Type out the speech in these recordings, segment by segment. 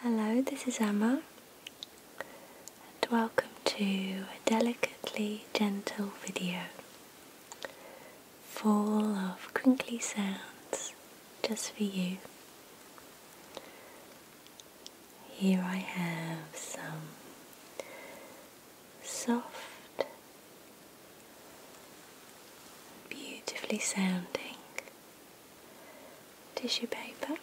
Hello, this is Emma, and welcome to a delicately gentle video full of crinkly sounds just for you. Here I have some soft, beautifully sounding tissue paper.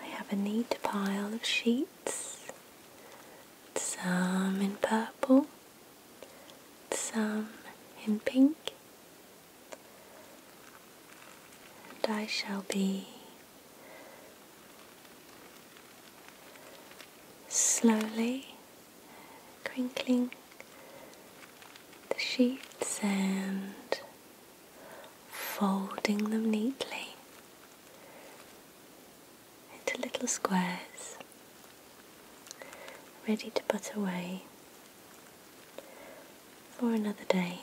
I have a neat pile of sheets, some in purple, some in pink, and I shall be slowly crinkling the sheets and folding them neatly into little squares ready to put away for another day.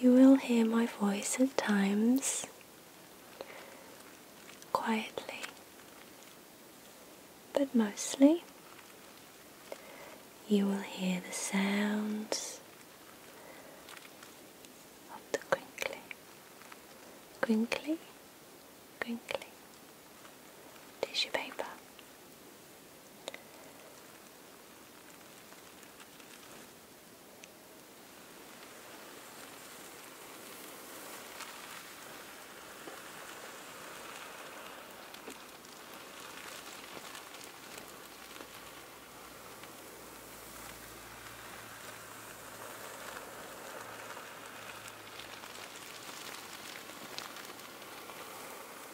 You will hear my voice at times quietly, but mostly you will hear the sounds of the quinkly, quinkly, quinkly tissue paper.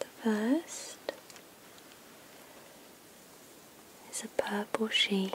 The first is a purple sheet.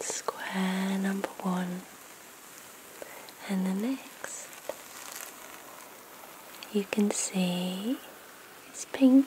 Square number one and the next. You can see it's pink.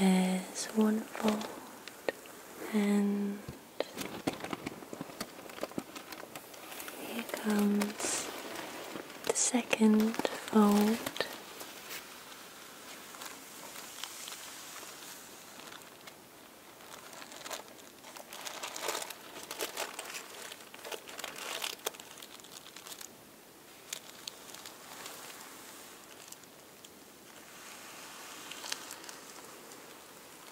There's one fold and here comes the second fold.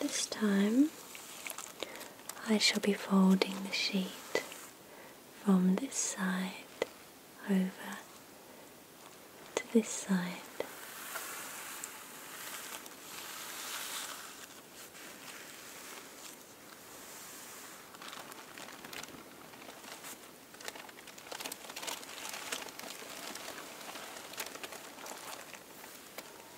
This time I shall be folding the sheet from this side over to this side.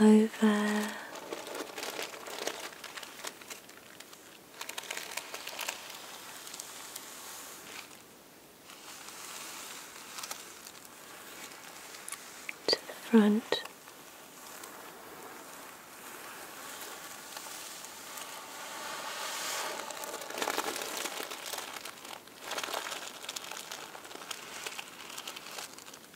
over to the front.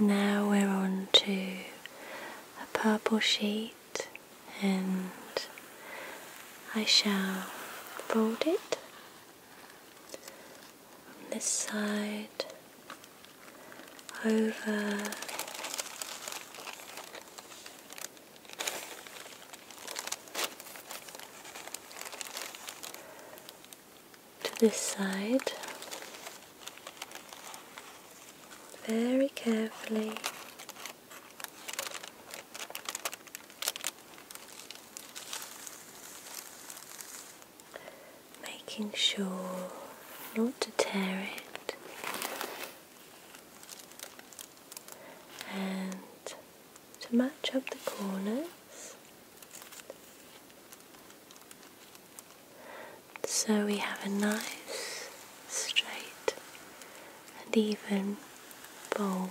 Now we're on to a purple sheet and I shall fold it on this side over to this side very carefully making sure not to tear it and to match up the corners so we have a nice straight and even fold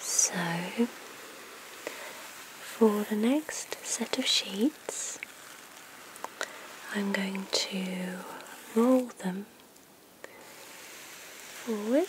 So, for the next set of sheets, I'm going to roll them forward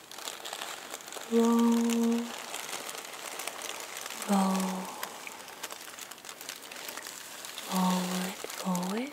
roll, roll, forward, forward.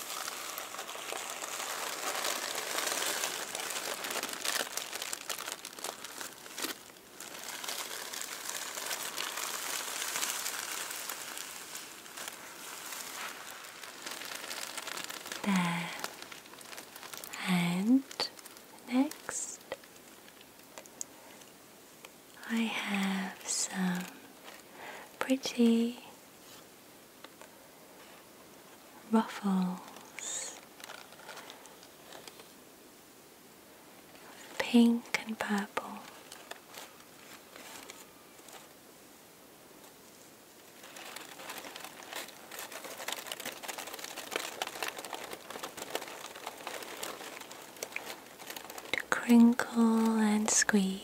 And next, I have some pretty ruffles, pink and purple. to Crinkle and squeeze.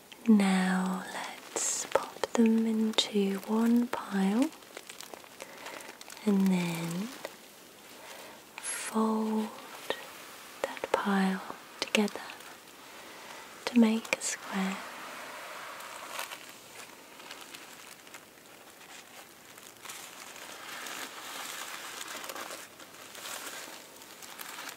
Now let's pop them into one pile and then fold that pile together to make a square.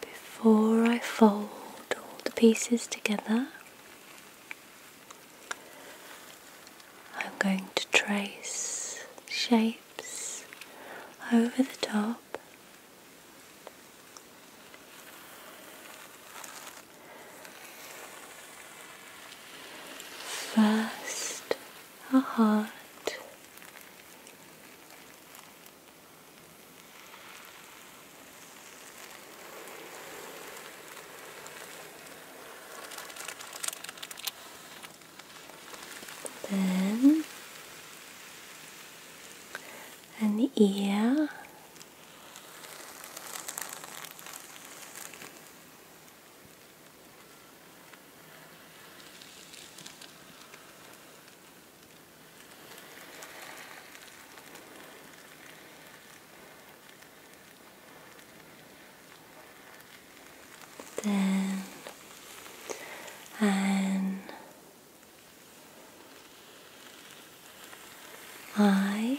Before I fold all the pieces together, I'm going to trace shapes over the top. First, a heart, then an ear then an I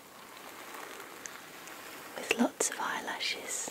with lots of eyelashes.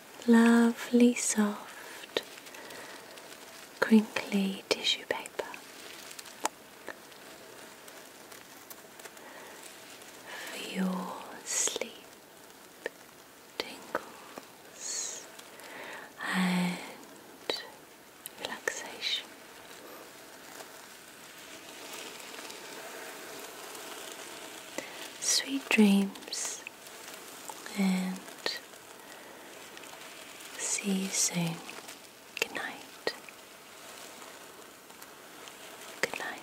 lovely, soft, crinkly tissue paper. For your sleep tingles and relaxation. Sweet dreams and See you soon. Good night. Good night.